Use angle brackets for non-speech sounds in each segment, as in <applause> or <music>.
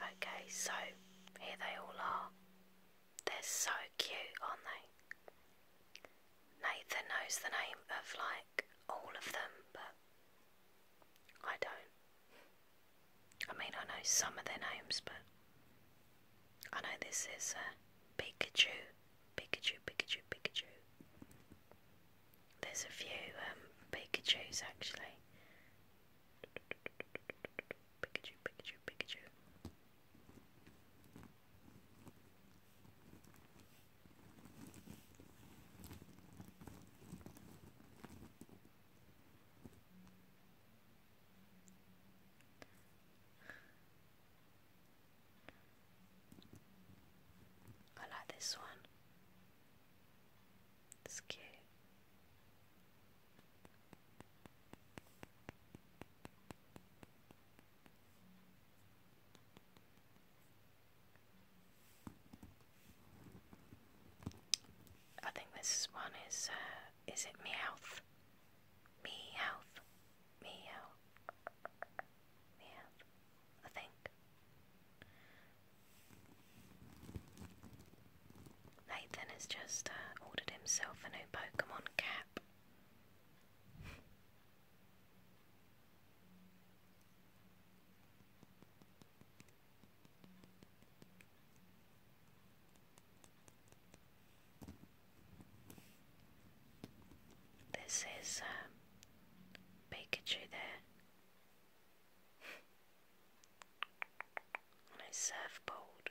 Okay, so here they all are. They're so cute, aren't they? Nathan knows the name of like all of them, but I don't. I mean, I know some of their names, but I know this is a uh, Pikachu, Pikachu, Pikachu, Pikachu. There's a few um, Pikachu's actually. Pikachu, Pikachu, Pikachu. I like this one. It's I think this one is, uh, is it Meowth? Meowth. Meow. Meowth. I think. Nathan has just uh, ordered himself a new Pokemon cap. This is um, Pikachu there on a surfboard.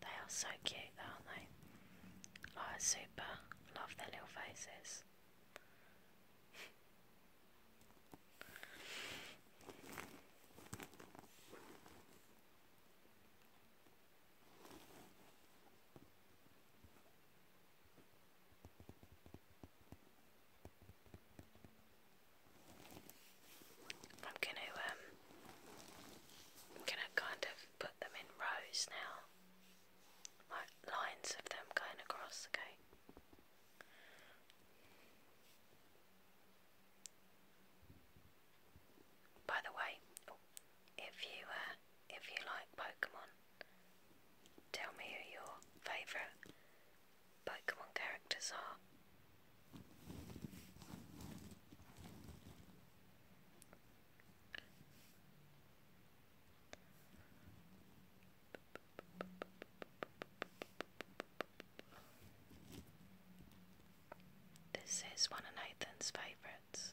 They are so cute, aren't they? Oh, super. Love their little faces. I'm going to um I'm going to kind of put them in rows now. Like lines of them going across, okay? By the way, if you uh, if you like Pokemon, tell me who your favourite Pokemon characters are. This is one of Nathan's favourites.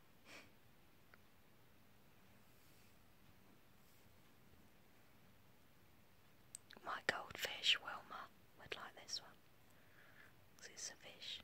My goldfish Wilma would like this one because it's a fish.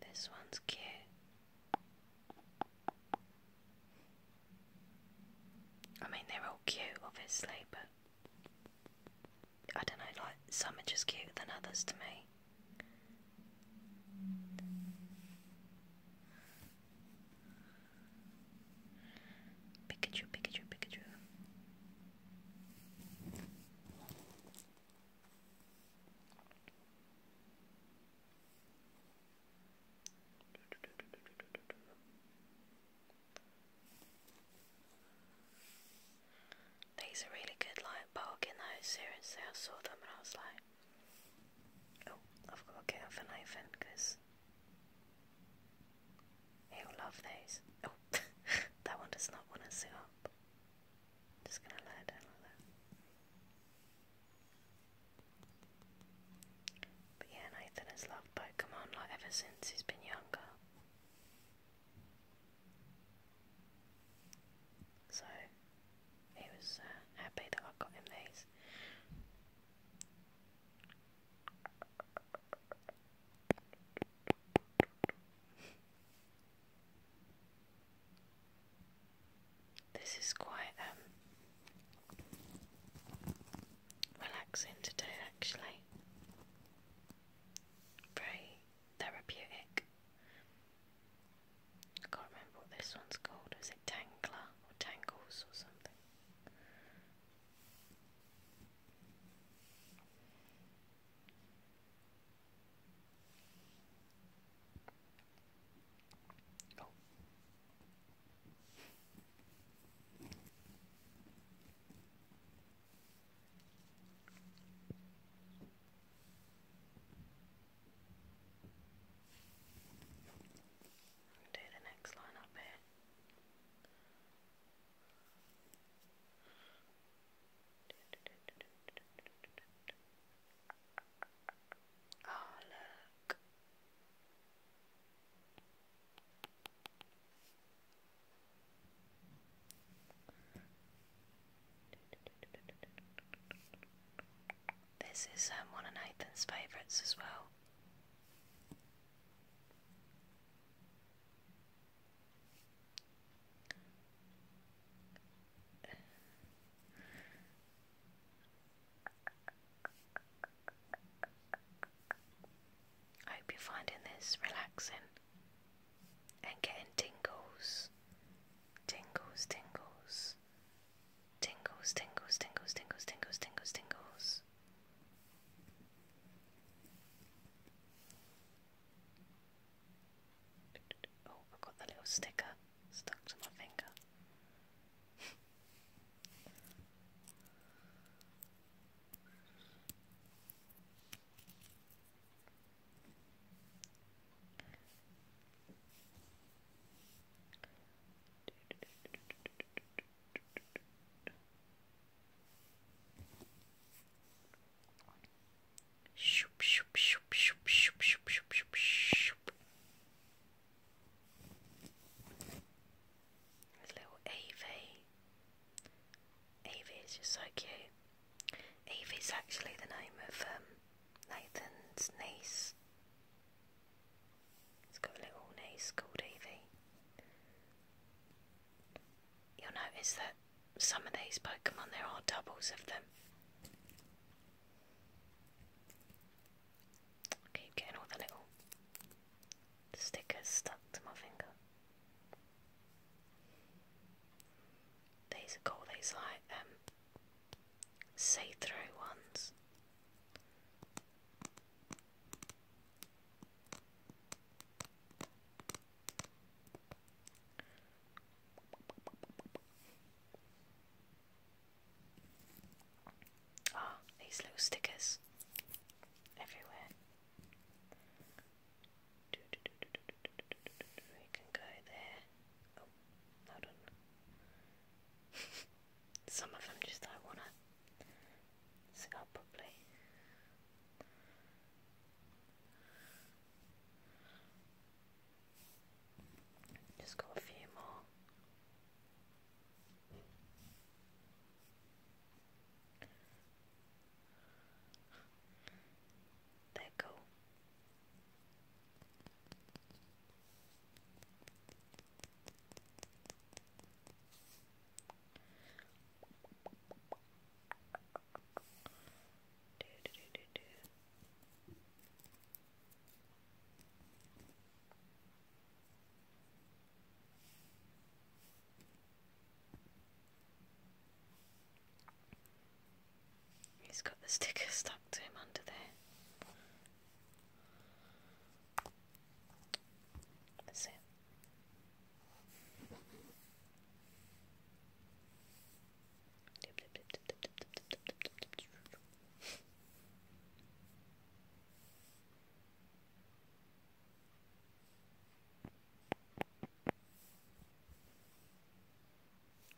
This one's cute. I mean, they're all cute, obviously, but I don't know, like some are just cuter than others to me. Pikachu, Pikachu, Pikachu. These are really good, like bargain though, seriously, I saw them and I was like, oh, I've got a camera for Nathan because he'll love these. Oh, <laughs> that one does not want to sit up. just going to lay it down like that. But yeah, Nathan has loved Pokemon like ever since he's been younger. So he was uh, happy that I got him these. This is quite um, relaxing to actually. Very therapeutic. I can't remember what this one's called. Is it Tangler or Tangles or something? Do the next line up here. Oh, look. This is um, one of Nathan's favourites as well. I hope you're finding this relaxing and getting tingles. Tingles, tingles. Tingles, tingles, tingles, tingles, tingles, tingles, Oh, I've got the little sticker stuck to my finger. Shoop, shoop, shoop, shoop, shoop, shoop, shoop, shoop, Little Ava. Evie is just so cute. is actually the name of um, Nathan's niece. He's got a little niece called Evie. You'll notice that some of these Pokemon, there are doubles of them. keep getting all the little stickers stuck to my finger. These are cool, these like um see-through ones. Ah, these little stickers everywhere. We can go there. Oh, hold on. <laughs> Some of them just I wanna sit up properly. Just got a few more. Let go. Do, do, do, do, do. He's got the sticker stuck to him under there. That's it.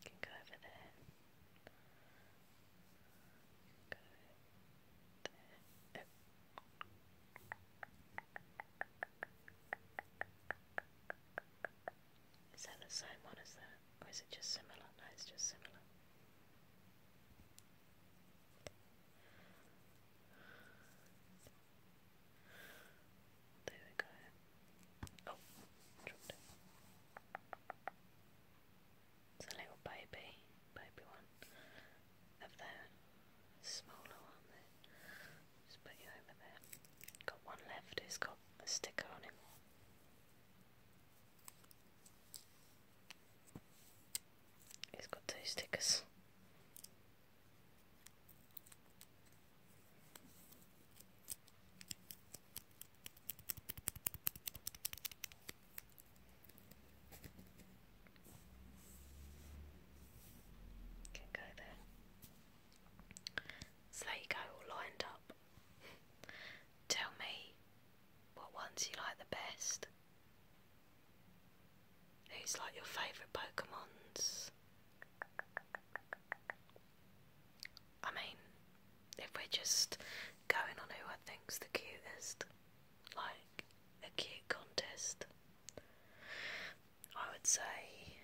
You go over there. Go there. Oh. that the same one as that? Or is it just similar? No, it's just similar. There we go. Oh, dropped it. It's a little baby, baby one. Up there, smaller one Just put you over there. Got one left who's got a sticker on him. He's got two stickers. Can go So there you go, all lined up. Tell me what ones you like the best. Who's like your favourite Pokemons? I mean, if we're just going on who I think's the cutest, like a cute contest, I would say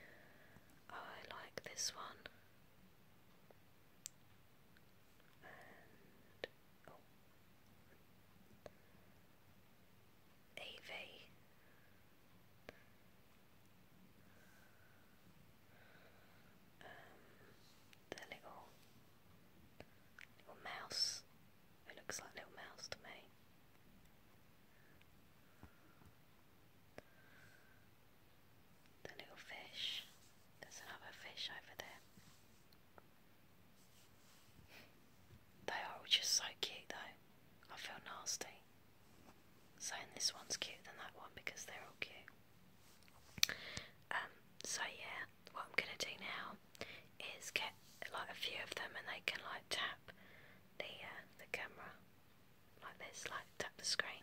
oh, I like this one. Oh. AV. Um, the little little mouse. It looks like little mouse to me. The little fish. There's another fish over there. They are all just so cute though. I feel nasty saying this one's cute than that one because they're all cute. Um, so yeah, what I'm gonna do now is get like a few of them and they can like tap the uh, the camera like this, like tap the screen.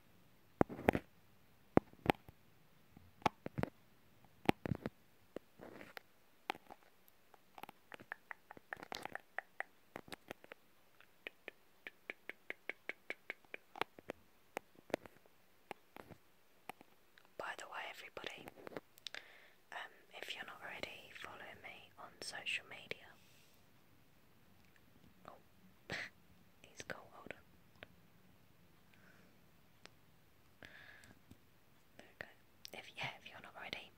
By the way, everybody, um, if you're not already, follow me on social media yeah, if you're not already,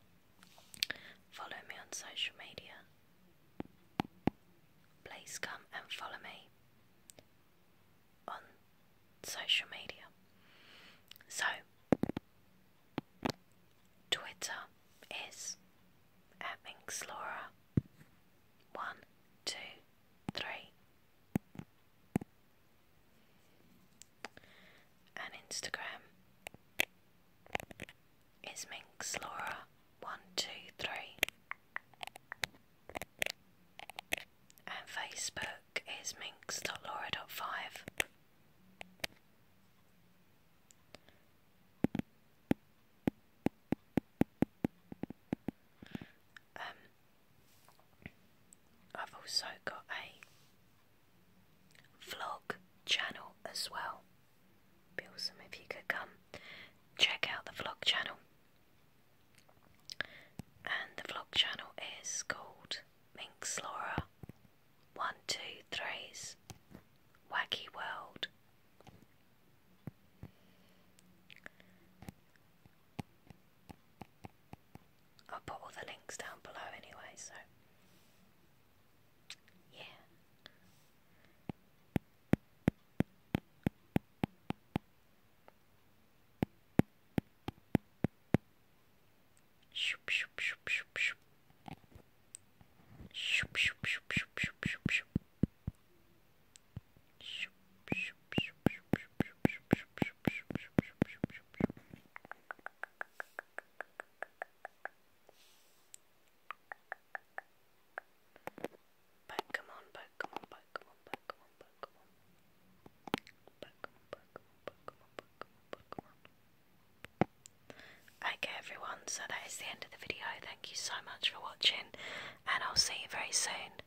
follow me on social media. Please come and follow me on social media. So, Twitter is at Minx Laura. One, two, three. And Instagram is Minx Laura. One, two, three. And Facebook is Laura five. Um, I've also got a vlog channel as well. Be awesome if you could come check out the vlog channel. And the vlog channel is called Minx Laura One Two Threes Wacky World I'll put all the links down below anyway, so yeah. Back, come on, back, come on, back, come on, back, come on, back, come on. Back, come on, back, come on, back, come on, back, come on, back, come on. Okay, everyone, so that is the end of the video. Thank you so much for watching, and I'll see you very soon.